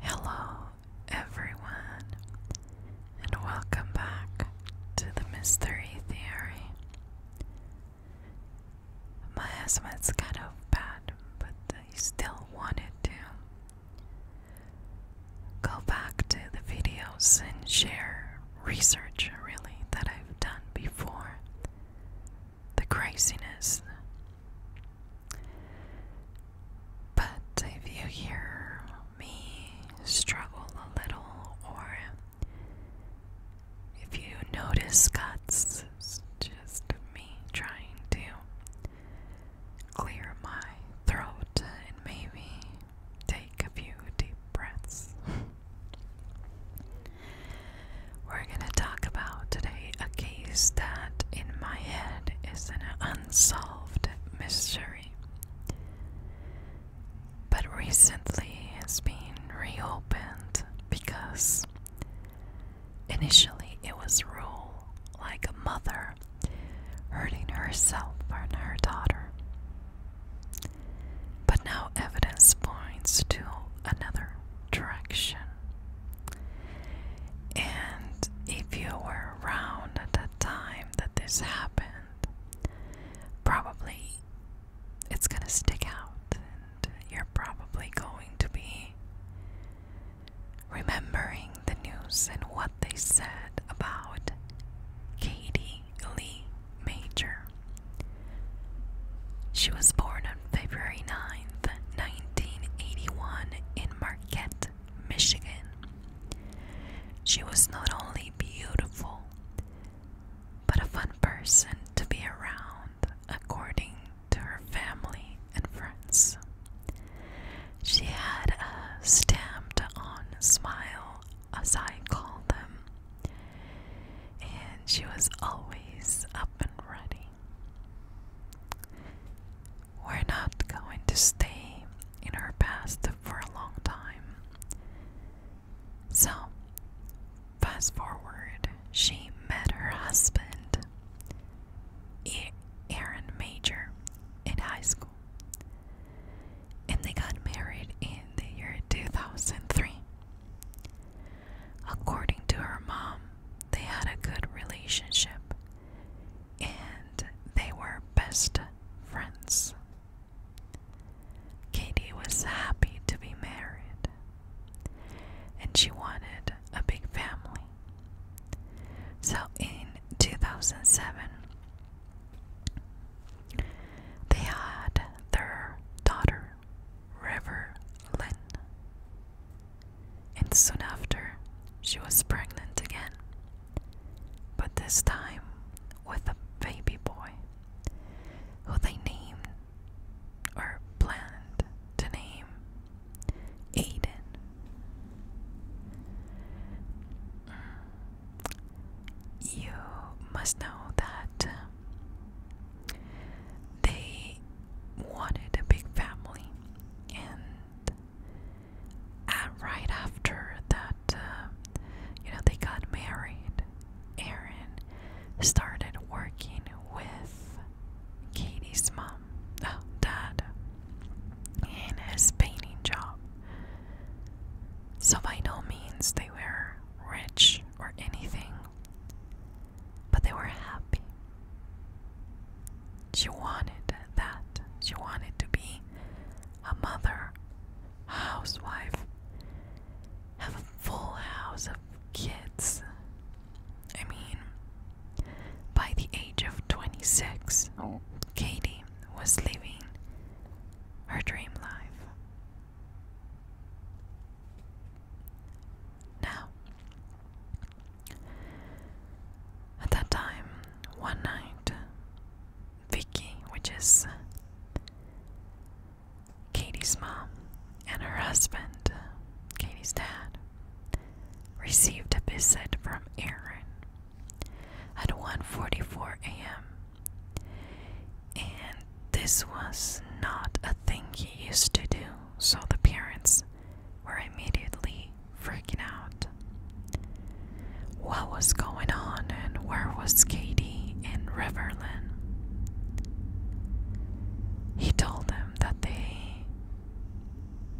Hello, everyone, and welcome back to the Mystery Theory. My husband's kind of bad, but I still wanted to go back to the videos and share research, really, that I've done before. The craziness but if you hear me struggle a little, or if you notice cuts, just me trying to clear my throat and maybe take a few deep breaths. We're going to talk about today a case that, in my head, is an unsolved unsolved mystery. But recently it's been reopened because initially it was ruled like a mother hurting herself and her daughter. But now evidence points to another direction. And if you were around at that time, time that this happened, probably it's going to stick out and you're probably going to be remembering the news and what they said about Katie Lee Major. She was born on February 9th, 1981 in Marquette, Michigan. She was not only beautiful, but a fun person to be around, according to her family and friends. She had a stamped on smile, as I call them, and she was always up and ready. We're not going to stay in our past for a long time. So, fast forward, she met her husband, Aaron Major, in high school. And they got married in the year 2003. According to her mom, they had a good relationship and they were best friends. Katie was happy to be married, and she wanted a big family. So in 2007, they had their daughter, River Lynn. And soon after, she was pregnant again but this time with a baby boy who they named or planned to name Aiden. You must know that they wanted a big family and and right after that, uh, you know, they got married, Aaron started working with Katie's mom, uh, dad, in his painting job. So, by no means they were rich or anything, but they were happy. She wanted that. She wanted to be a mother, a housewife, have a full house of kids. I mean, by the age of 26, Katie was living her dream life. Now, at that time, one night, Vicky, which is Katie's mom, and her husband, Katie's dad, received a visit from Aaron at 1:44 a.m. And this was not a thing he used to do, so the parents were immediately freaking out. What was going on and where was Katie and Riverland? He told them that they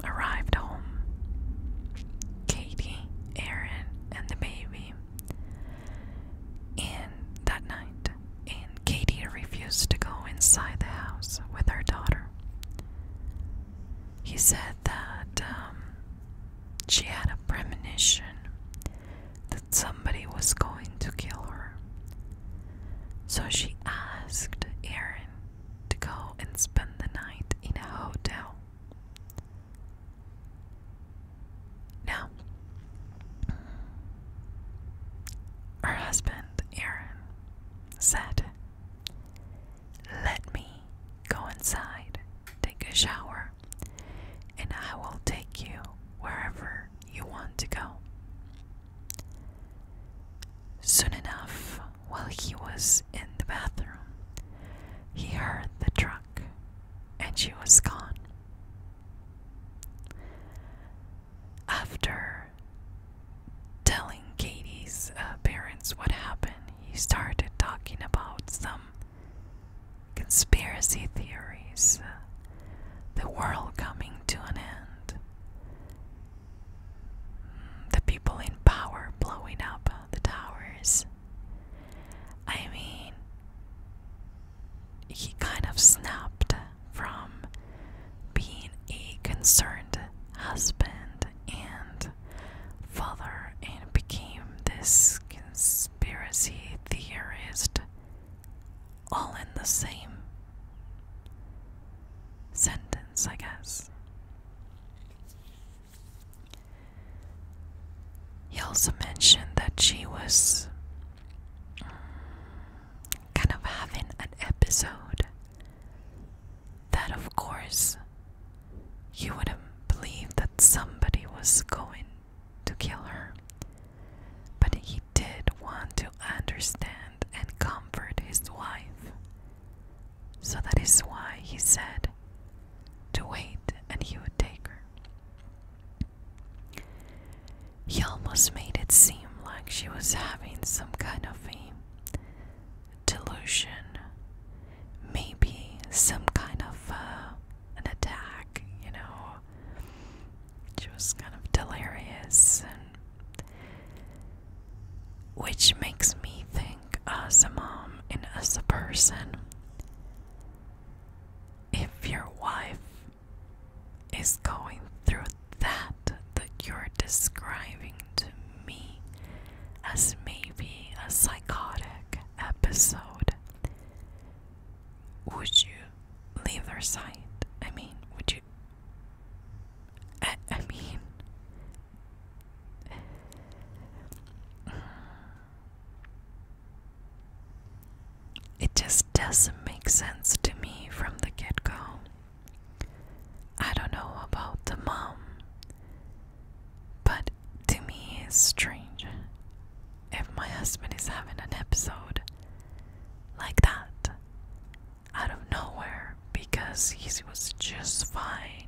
arrived home. Katie, Aaron, and the baby. And that night, and Katie refused to go inside the house with her daughter. He said that um, she had a premonition that somebody was going to kill her. So she asked Aaron to go and spend the night in a hotel. Now, her husband, Aaron, said let me go inside, take a shower, and I will take you wherever you want to go. Soon enough, while he was in the bathroom, he heard the truck and she was gone. After telling Katie's uh, parents what happened, he started talking about some conspiracy theories, uh, the world coming to an end, mm, the people in power blowing up uh, the towers. I mean, he kind of snapped from being a concerned husband and father and became this conspiracy theorist all in the same sentence, I guess. He also mentioned that she was mm, kind of having an episode that of course you wouldn't believe that somebody was going to kill her. But he did want to understand and comfort his wife. So that is why he said to wait and he would take her. He almost made it seem like she was having some kind of a delusion, maybe some kind of uh, an attack, you know. She was kind of delirious, and which makes me think uh, as a mom and as a person, if your wife is going through that that you're describing me as maybe a psychotic episode. Would you leave their side? I mean, would you? I mean. It just doesn't make sense to me from the get go. I don't know about the mom. But to me, it's strange if my husband is having an episode like that out of nowhere because he was just fine.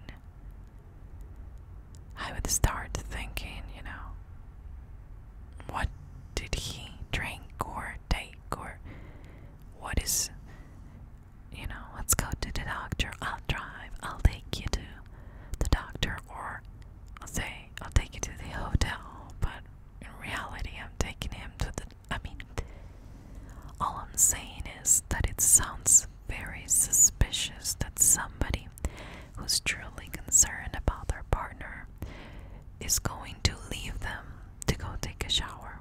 I would start thinking, you know, what did he drink or take or what is you know, let's go to the doctor. I'll drive. I'll take you to the doctor, or I'll say I'll take you to the hotel. But in reality, I'm taking him to the. I mean, all I'm saying is that it sounds very suspicious that somebody who's truly concerned about their partner is going to leave them to go take a shower.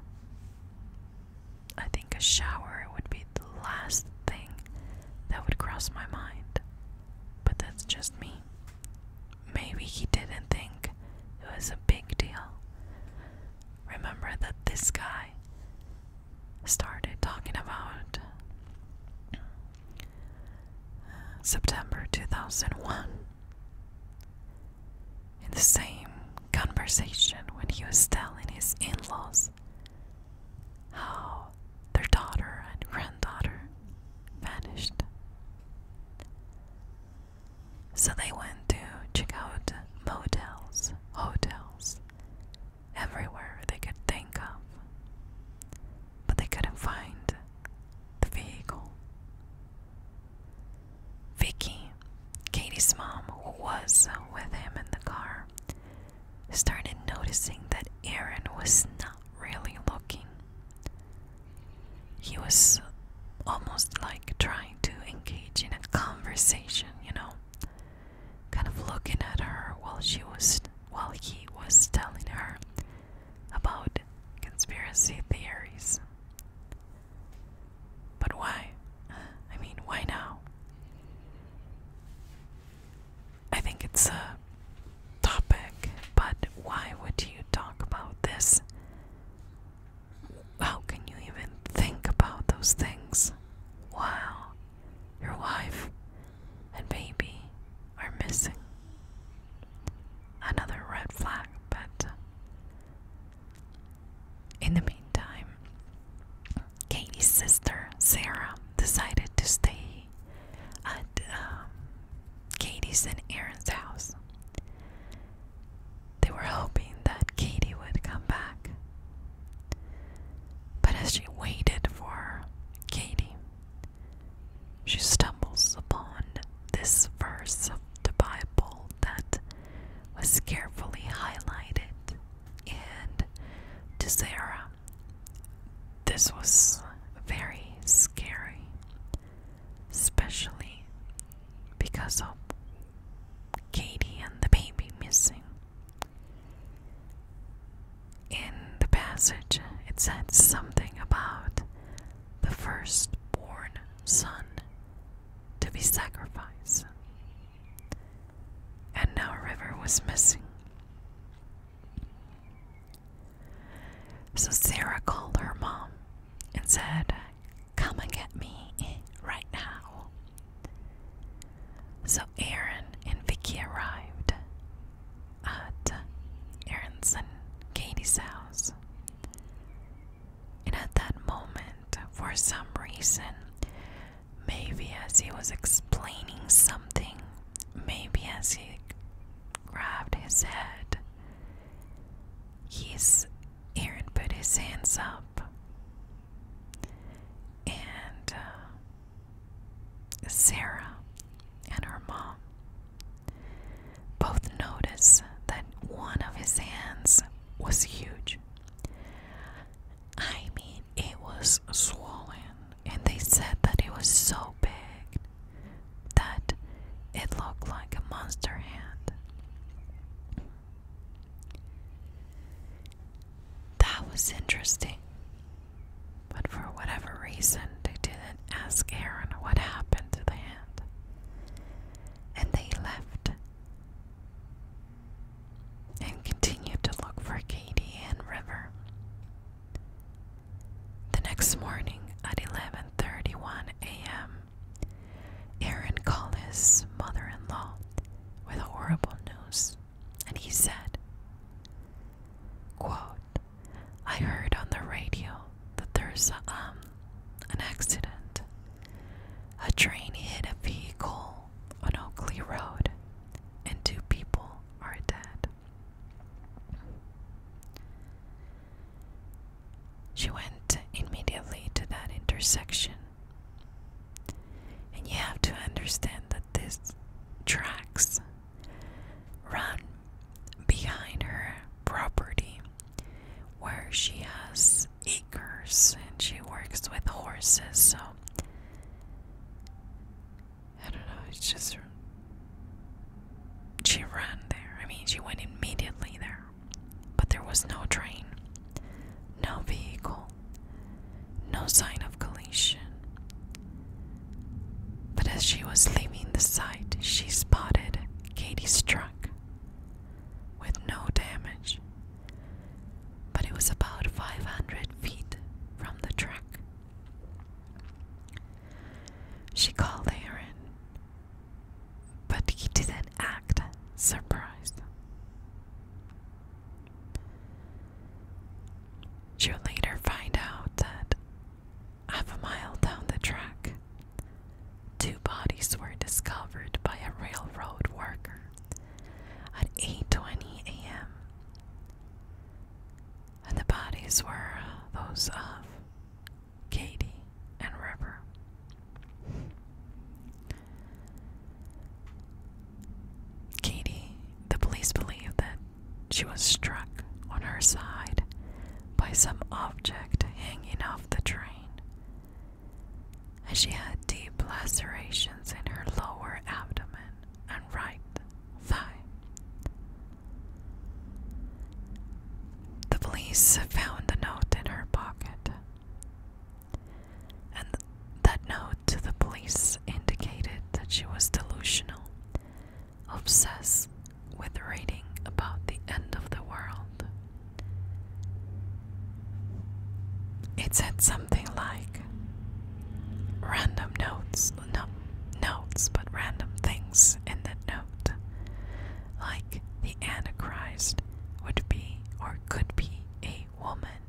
I think a shower would be the last thing that would cross my mind. But that's just me. Maybe he didn't think it was a big deal. Remember that this guy started talking about September 2001 in the same conversation when he was telling his in laws how their daughter and granddaughter vanished. So they went to check out motels, hotels, everywhere they could think of, but they couldn't find the vehicle. Vicky Katie's mom, who was with him in the car, started noticing that Aaron was not really looking. He was almost like trying to engage in a conversation, you know, kind of looking at her while she was while he was telling her about conspiracy theories. But why? I mean, why now? I think it's a topic, but why would you talk about this? How can you even think about those things? Wow, your wife and baby are missing. Another red flag, but in the meantime, Katie's sister, Sarah, decided to stay at um, Katie's and Aaron's house. They were hoping that Katie would come back. But as she waited for Katie, she stumbles upon this verse of the Bible that was carefully highlighted and to Sarah. This was very scary, especially because of Katie and the baby missing. In the passage, it said something about the firstborn son to be sacrificed and now River was missing. So Sarah called her mom and said, Come and get me right now. So Aaron and Vicki arrived at Aaron's and Katie's house. And at that moment, for some reason, Maybe as he was explaining something, maybe as he grabbed his head, he's Aaron put his hands up and uh, Sarah and her mom both notice that one of his hands was huge. I mean, it was swollen, and they said that it was so big that it looked like a monster hand. That was interesting, but for whatever reason, they didn't ask Aaron what happened to the hand, and they left and continued to look for Katie and River. The next morning at 11:31 a.m., Aaron called his mother-in-law with horrible news, and he said, "I heard on the radio that there's um an accident. A train hit a vehicle on Oakley Road, and two people are dead. She went immediately to that intersection. And you have to understand that this tracks run behind her property where she has acres and she works with horses, so I don't know, it's just she ran there. I mean, she went immediately there, but there was no train, no vehicle, no sign of collision. But as she was leaving the site, she spotted Katie's truck with no damage but it was about 500 feet from the track. She called Aaron, but he didn't act surprised. She would later find out that half a mile down the track, two bodies were discovered by a railroad worker at 8:20 a.m. the bodies were those of Katie and River. Katie, the police believe that she was struck on her side by some object hanging off the train and she had deep lacerations in her lower abdomen and right thigh. The police found a note in her pocket, and that note to the police indicated that she was delusional, obsessed with reading about the end of the world it said something like random notes, no notes, but random things in the note. Like the Antichrist would be or could be a woman.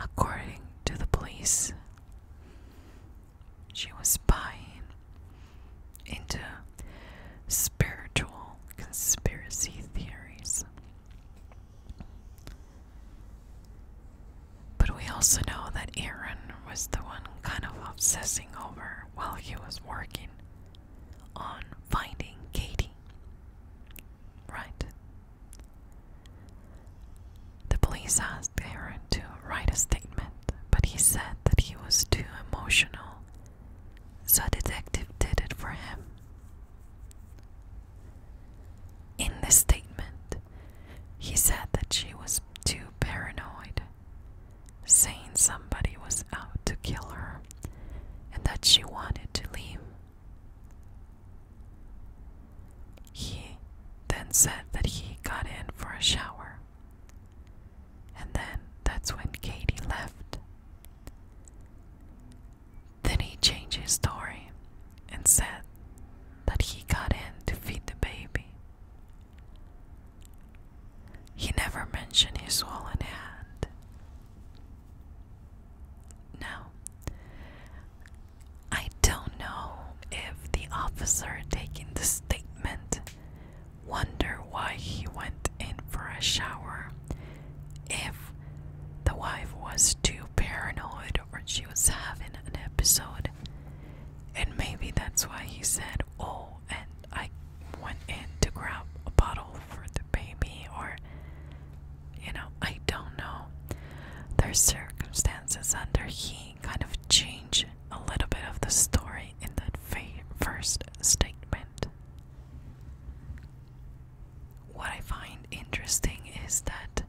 According to the police, she was buying into spiritual conspiracy theories. But we also know that Aaron was the one kind of obsessing over while he was working on finding Katie. Right? The police asked Aaron to write a statement, but he said that he was too emotional so detective did it for him. In the statement, he said that she was too paranoid, saying somebody was out to kill her and that she wanted to leave. He then said that he got in for a shower, and then that's when Katie left. Then he changed his story and said that he got in to feed the baby. He never mentioned his swollen hand. Now, I don't know if the officer taking the statement wonder why he went in for a shower if the wife was too paranoid or she was having an episode. And maybe that's why he said, Oh, and I went in to grab a bottle for the baby, or you know, I don't know. There's circumstances under he kind of change a little bit of the story in that first statement what I find interesting is that,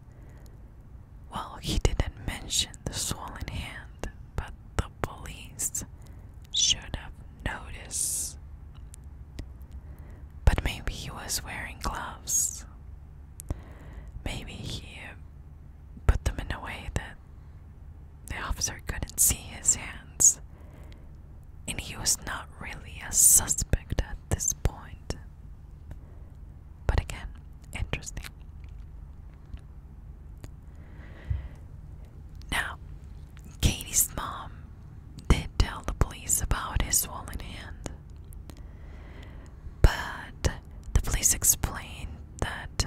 well, he didn't mention the swollen hand, but the police should have noticed. But maybe he was wearing gloves. Maybe he put them in a way that the officer couldn't see his hands and he was not really a suspect at this point. But again, interesting. Now, Katie's mom did tell the police about his swollen hand, but the police explained that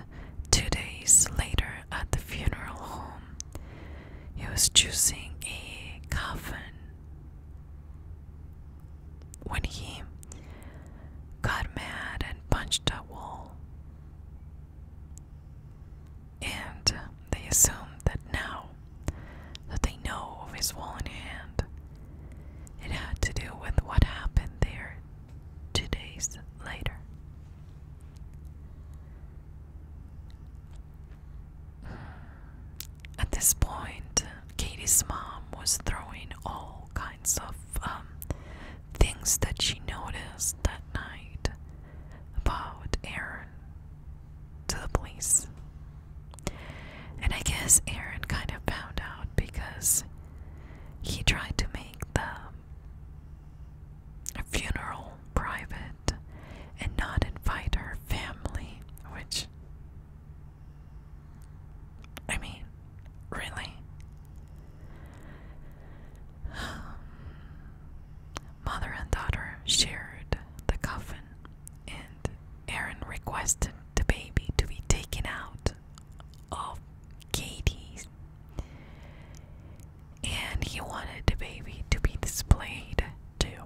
two days later at the funeral home, he was choosing a coffin. When he got mad and punched a wall, and they assumed that now that they know of his wall hand, it had to do with what happened there two days later. At this point, Katie's mom was throwing all kinds of um, things that she noticed that night about Aaron to the police. And I guess Aaron kind of found out because he tried to make the a funeral private and not invite her family, which I mean, really? Um, mother and daughter shared the coffin, and Aaron requested the baby to be taken out of Katie's and he wanted the baby to be displayed too.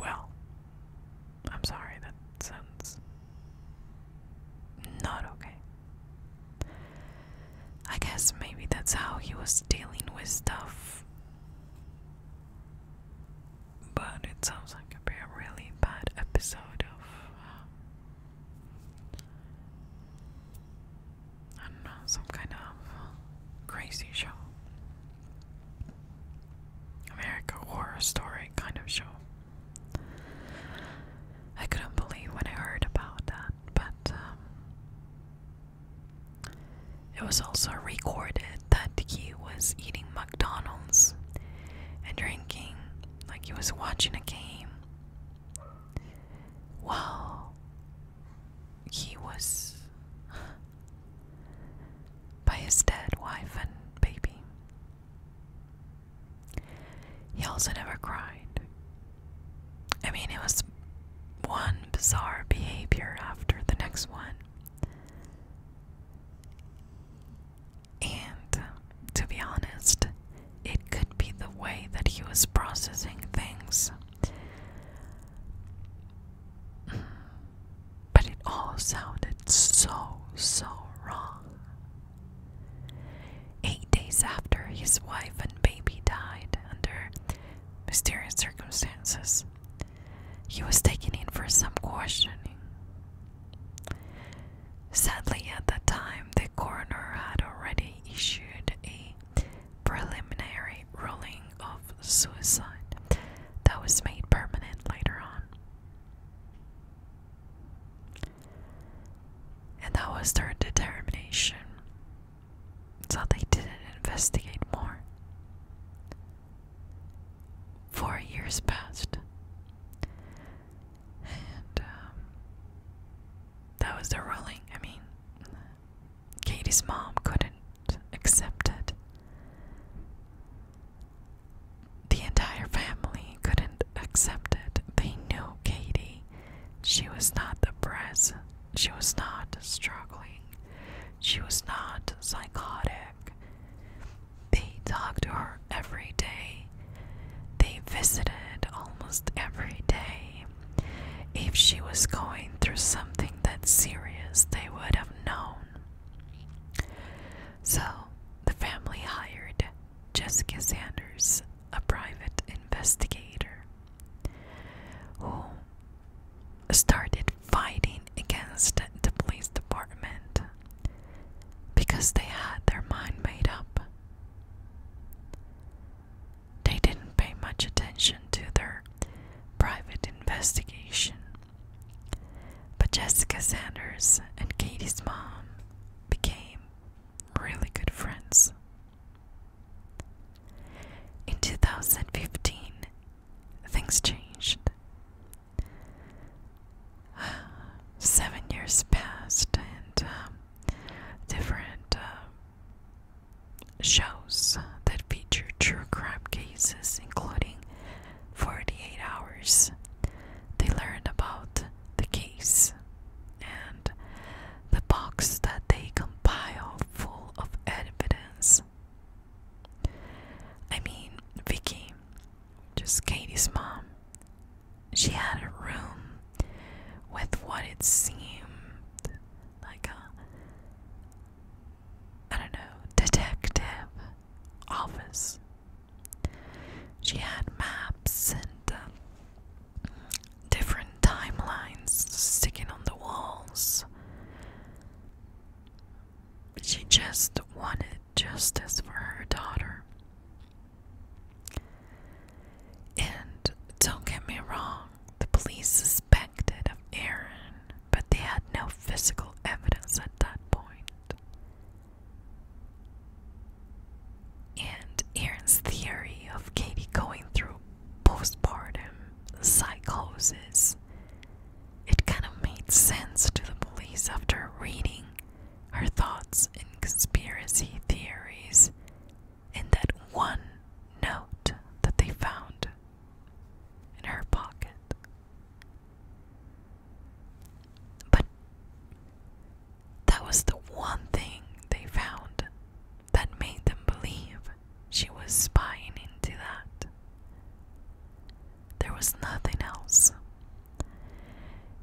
Well, I'm sorry, that sounds not okay. I guess maybe that's how he was dealing with stuff. But it sounds like a really bad episode of. Uh, I don't know, some kind of crazy show. America Horror Story kind of show. I couldn't believe when I heard about that, but um, it was also recorded that he was eating McDonald's and drinking, like he was watching a game while he was by his dead wife and baby. He also never cried. I mean, it was one bizarre behavior after the next one. And to be honest, it could be the way that he was processing things. But it all sounded so, so wrong. Eight days after his wife and baby died under mysterious circumstances, he was taken in for some questioning. Sadly, at that time, the coroner had already issued a preliminary ruling of suicide that was made permanent later on. And that was their determination. So they didn't investigate more. Four years passed. And um, that was the ruling. I mean, Katie's mom couldn't accept it. The entire family couldn't accept it. They knew Katie. She was not depressed. She was not struggling. She was not psychotic. They talked to her every day. They visited almost every day. If she was going through something that serious, they would have known. So the family hired Jessica Sanders, a private investigator, who started fighting against the police department because they had their mind made up. They didn't pay much attention to their private investigation. But Jessica Sanders and Katie's mom became really good friends. In 2015, things changed. Seven years passed, and um, different uh, shows that feature true crime cases, including 48 Hours. They learned about the case, and the box that they compile full of evidence. I mean, Vicky, just Katie's mom, she had a room with what it seemed like a I don't know, detective office. She had maps and um, different timelines sticking on the walls. She just wanted justice for her daughter. And don't get me wrong, the police suspected of Aaron, but they had no physical evidence at that point. And Aaron's theory of Katie going through postpartum psychosis it kind of made sense to the police after reading her thoughts and conspiracy theories in that one note that they found in her pocket. But that was the one thing they found that made them believe she was spying into that. There was nothing else.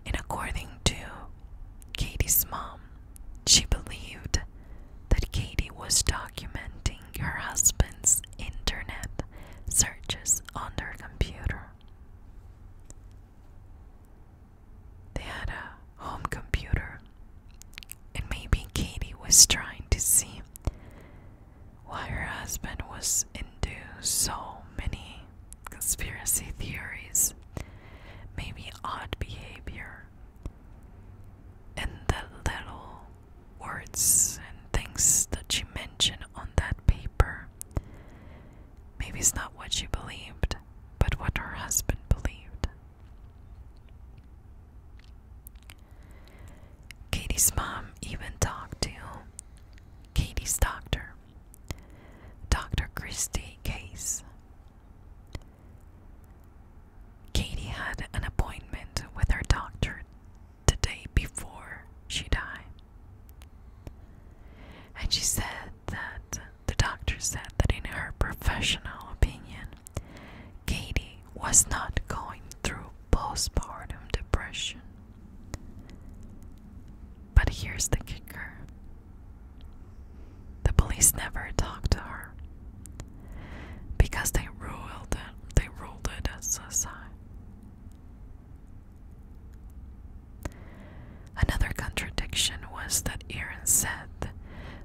And according to Katie's mom, she believed that Katie was documenting her husband's internet searches on their computer. They had a home computer, and maybe Katie was trying to see why her husband was into so many conspiracy theories, maybe odd behavior, and the little words and things that she mentioned on that paper. Maybe it's not what she believed, but what her husband believed. Katie's mom even talked to Katie's doctor, Dr. Christie Case. Katie had an appointment with her doctor the day before she died. And she said that the doctor said that, in her professional opinion, Katie was not going through postpartum depression. But here's the kicker the police never talked to her because they ruled it. They ruled it as a sign. Another contradiction was that Erin said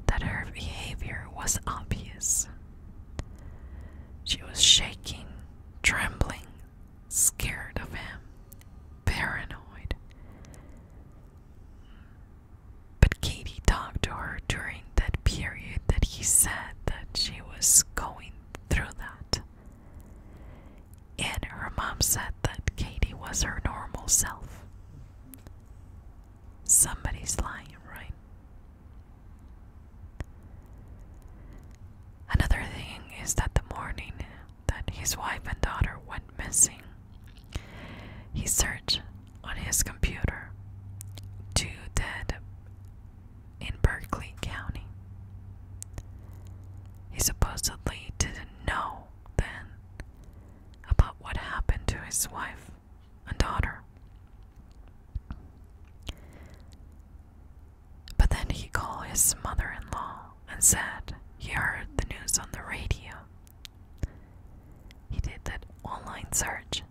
that her behavior was obvious. She was shaking, trembling, scared of him, paranoid. But Katie talked to her during that period that he said that she was going through that. And her mom said that Katie was her normal self. Somebody's lying, right? Another thing is that the morning that his wife and daughter went missing, he searched on his computer. Two dead in Berkeley County. He supposedly didn't know then about what happened to his wife and daughter. But then he called his mother in law and said he heard the news on the radio he did that online search,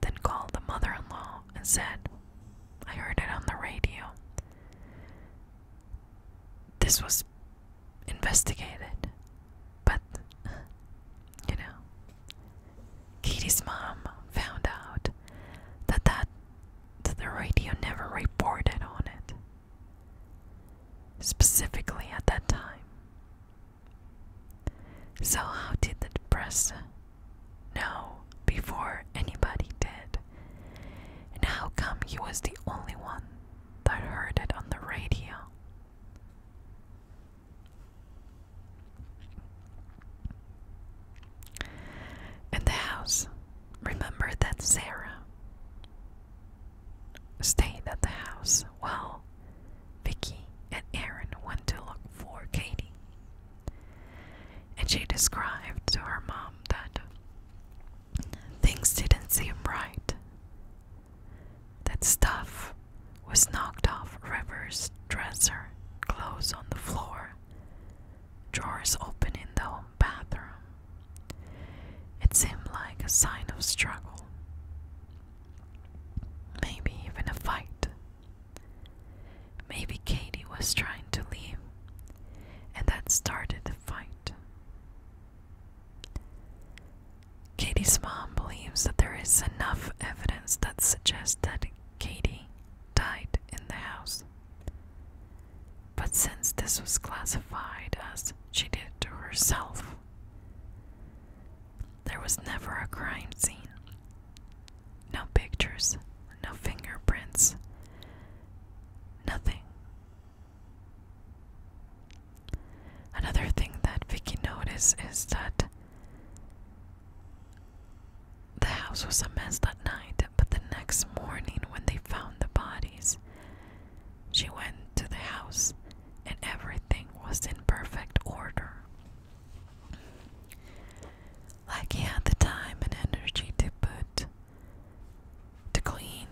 then called the mother in law and said, I heard it on the radio. This was investigated, but you know, Kitty's mom found out that, that the radio never reported on it. Specifically at that time, so, how did the press know before anybody did? And how come he was the only one that heard it on the radio? In the house, remember that Sarah stayed at the house while Vicky and Aaron went to look for Katie. And she described to her mom that things didn't seem right. That stuff was knocked off River's dresser, clothes on the floor, drawers open in the home bathroom. It seemed like a sign of struggle. Maybe even a fight. Maybe Katie was trying to leave, and that started the fight. Katie's mom believes that there is enough evidence that suggests that Katie died in the house. But since this was classified as she did to herself, there was never a crime scene. No pictures, no fingerprints, nothing. Another thing that Vicky noticed is that the house was a mess that night, but the next morning when they found the bodies, she went to the house and everything was in perfect order. Like he had the time and energy to put, to clean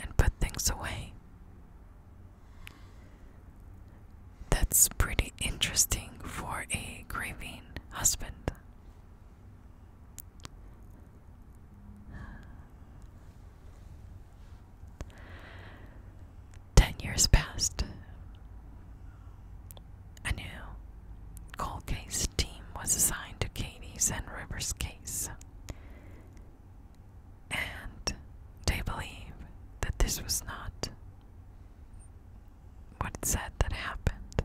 and put things away. That's pretty interesting for a grieving husband. Ten years passed. A new cold case team was assigned to Katie's and River's case. And they believe that this was not what said that happened.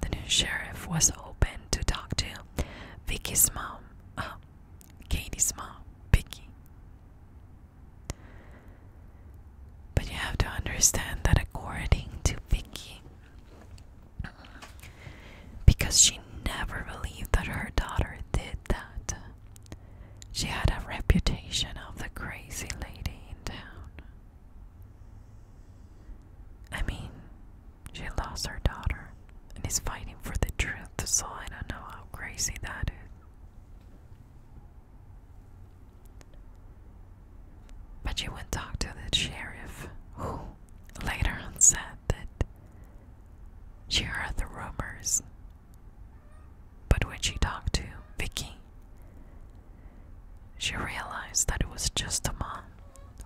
The new sheriff was open to talk to Vicky's mom, uh, Katie's mom, Vicky. But you have to understand that according to Vicky, because she never believed that her daughter did that, she had a reputation of the crazy lady in town. I mean, she lost her daughter and is fighting for the truth, so I don't know how crazy that is. But she went talk to the sheriff, who later on said that she heard the rumors. But when she talked to Vicky, she realized that it was just a mom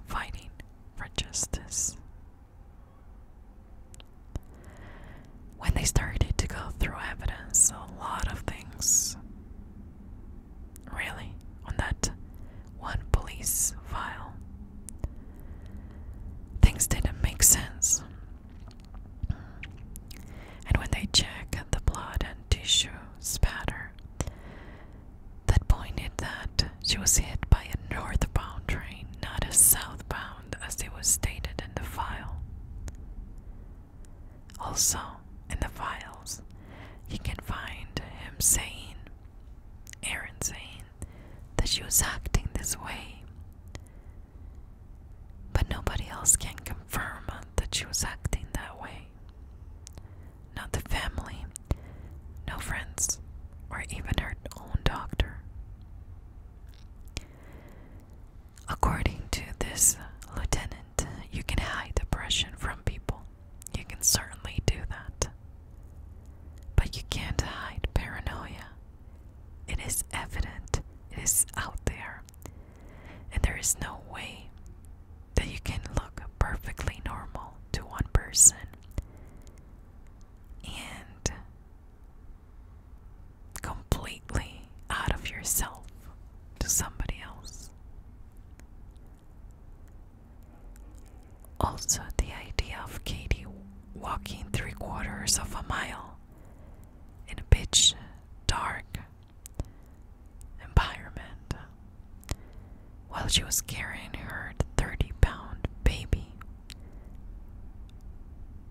fighting for justice. When they started to go through evidence, a lot of things. Really, on that one police file, things didn't make sense. And when they check the blood and tissue spatter, that pointed that she was hit by a northbound train, not a southbound, as it was stated in the file. Also, in the files, you can find him saying, Aaron saying, that she was acting this way. But nobody else can confirm that she was acting that way not the family, no friends, or even her own doctor. According to this lieutenant, you can hide depression from people. You can certainly do that. But you can't hide paranoia. It is evident, it is out there, and there is no way that you can look perfectly normal to one person and completely out of yourself to somebody else. Also, the idea of Katie walking three quarters of a mile in a pitch dark environment while she was carrying her 30 pound baby.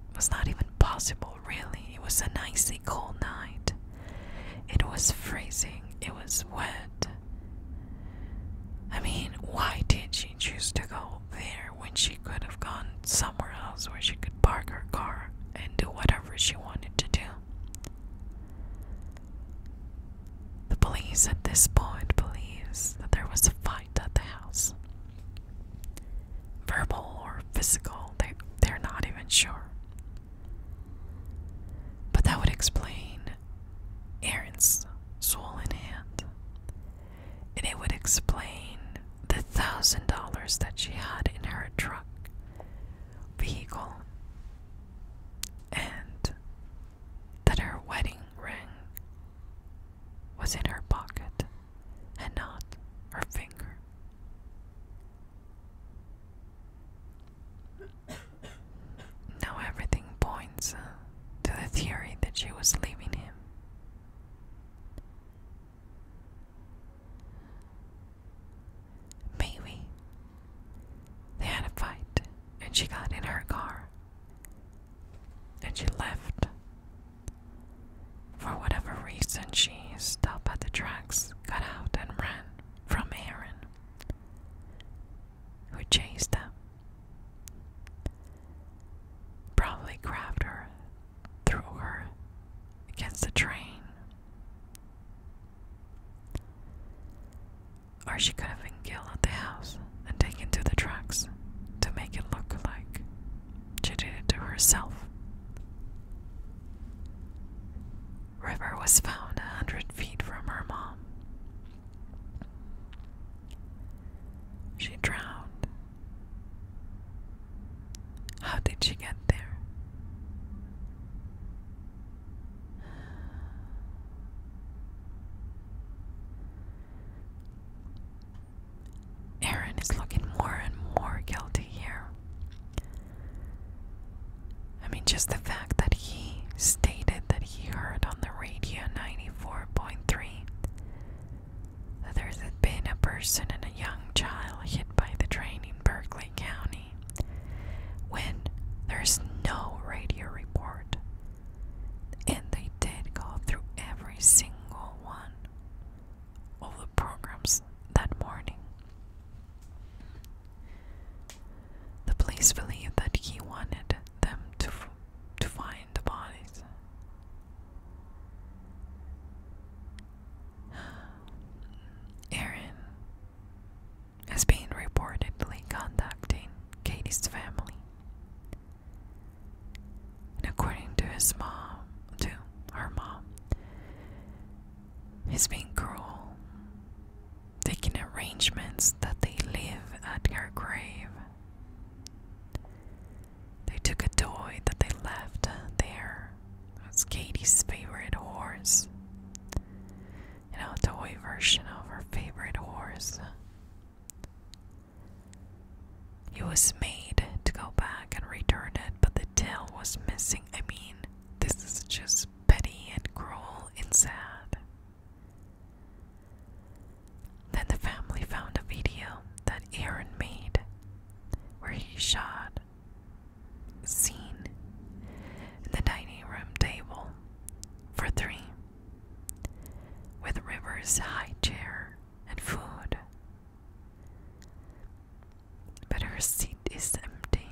It was not even possible, really. It was a nicely cold night. It was freezing. It was wet. I mean, why did she choose to go there when she could have gone somewhere else where she could park her car and do whatever she wanted to do? The police at this point believes that there was a fight at the house. Verbal or physical, they, they're not even sure. But that would explain Erin's swollen hand. And it would explain the thousand dollars that she had in her truck, vehicle, and that her wedding ring was in her pocket and not her finger. Now everything points uh, to the theory that she was leaving him. Maybe they had a fight and she got in her car and she left. For whatever reason, she stopped at the tracks, got out, and ran from Aaron, who chased them. Probably grabbed her, threw her against the train. Or she could have been killed at the house and taken to the trucks to make it look like she did it to herself. River was found a hundred feet from her mom. She drowned. How did she get there? Aaron is looking more and more guilty here. I mean, just the fact that he stated that he heard on the radio 94.3 that there has been a person and a young child hit by the train in Berkeley County when there's no radio report and they did go through every single one of the programs that morning. The police believed that he wanted them to, to find the bodies. Aaron has been reportedly contacting Katie's family. And according to his mom, to her mom, he's been cruel, taking arrangements that they live at her grave. They took a toy that they left there. It was Katie's favorite horse. You know, toy version of her favorite horse. He was made to go back and return it, but the tail was missing. I mean, this is just petty and cruel and sad. Then the family found a video that Aaron made where he shot a scene in the dining room table for three with rivers high chair and food. But her seat is empty.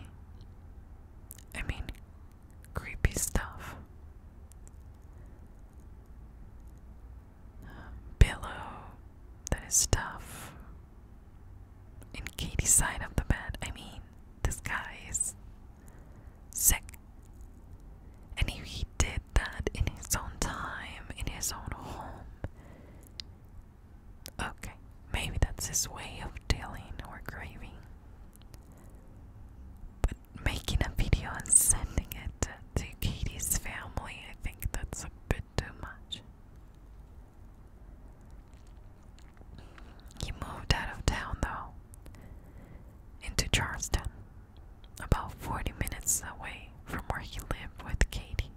I mean, creepy stuff. Pillow that is tough. In Katie's side of the bed. I mean, this guy sick. And he, did that in his own time, in his own home. Okay, maybe that's his way of dealing or grieving. But making a video and sending it to Katie's family, I think that's a bit too much. He moved out of town though into Charleston, about 40 minutes away from where he lived with Katie.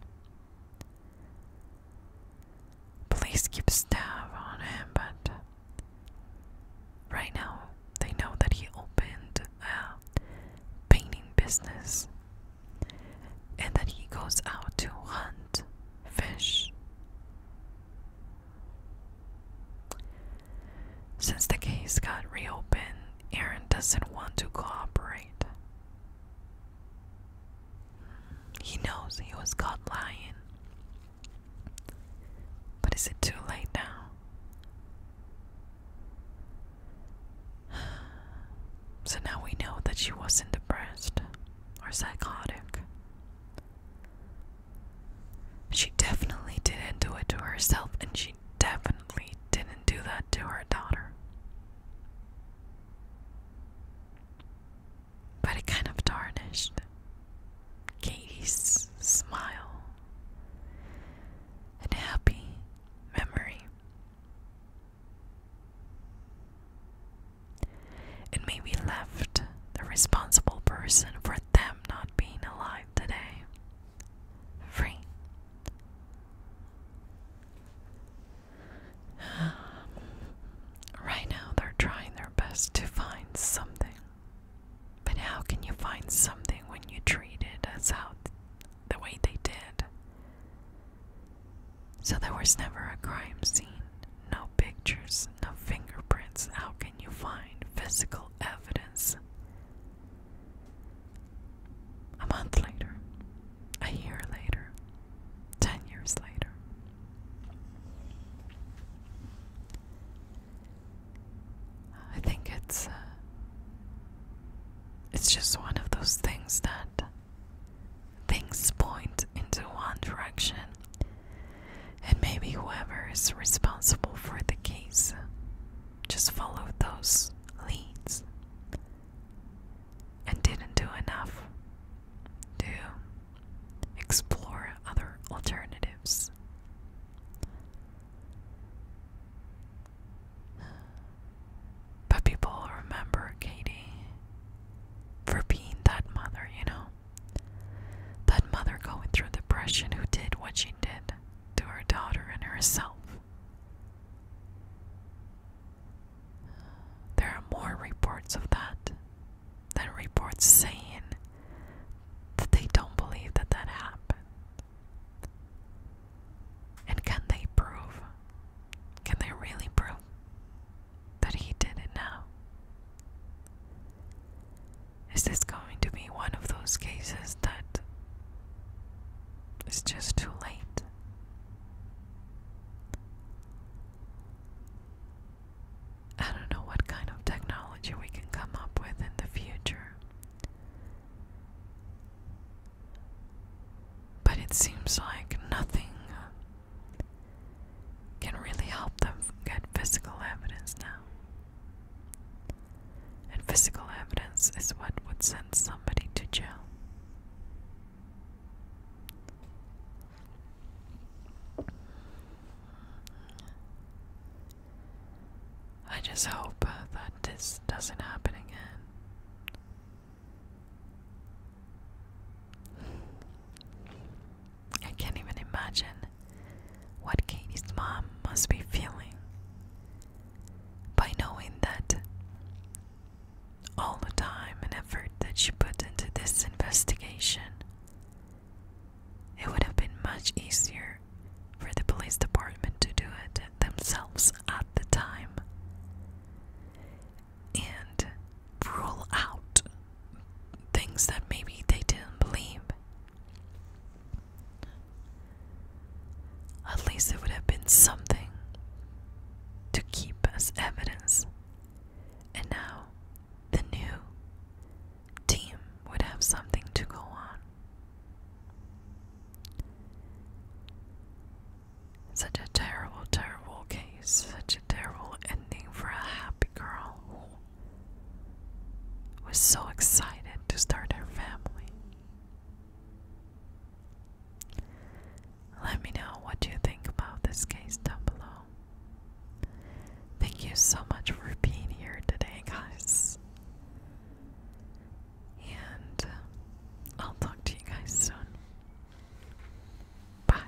Police keep staff on him, but right now they know that he opened a painting business and that he goes out to hunt fish. Since the case got reopened, Aaron doesn't want to cooperate. He knows he was caught lying. But is it too late now? So now we know that she wasn't depressed or psychotic. She definitely didn't do it to herself, and she definitely didn't do that to her daughter. But it kind of tarnished Katie's smile and happy memory. It maybe left the responsible person for them not being alive today. Free. Right now, they're trying their best to find something. But how can you find something when you treat it as how the way they did? So there was never a crime scene, no pictures, no fingerprints. How you find physical evidence? A month later, a year later, ten years later. I think it's uh, it's just one of those things that things point into one direction and maybe whoever is responsible for the case just followed those leads and didn't do enough to explore other alternatives. But people remember Katie for being that mother, you know? That mother going through depression who did what she did to her daughter and herself. There are more reports of that than reports saying that they don't believe that that happened. And can they prove? Can they really prove that he did it now? Is this going to be one of those cases that it's just too late? I don't know what kind of technology we can come up with in the future. But it seems like nothing can really help them get physical evidence now. And physical evidence is what would send somebody to jail. I just hope uh, that this doesn't happen again. I can't even imagine what Katie's mom must be feeling by knowing that all the time and effort that she put into this investigation. It would have been much easier for the police department to do it themselves at the time and rule out things that maybe they didn't believe at least it would have been something to keep as evidence. And now the new team would have something to go on. Such a terrible, terrible case. Such a terrible ending for a happy girl was so excited to start her family. Let me know what you think about this case down below. Thank you so much for being here today, guys. And I'll talk to you guys soon. Bye.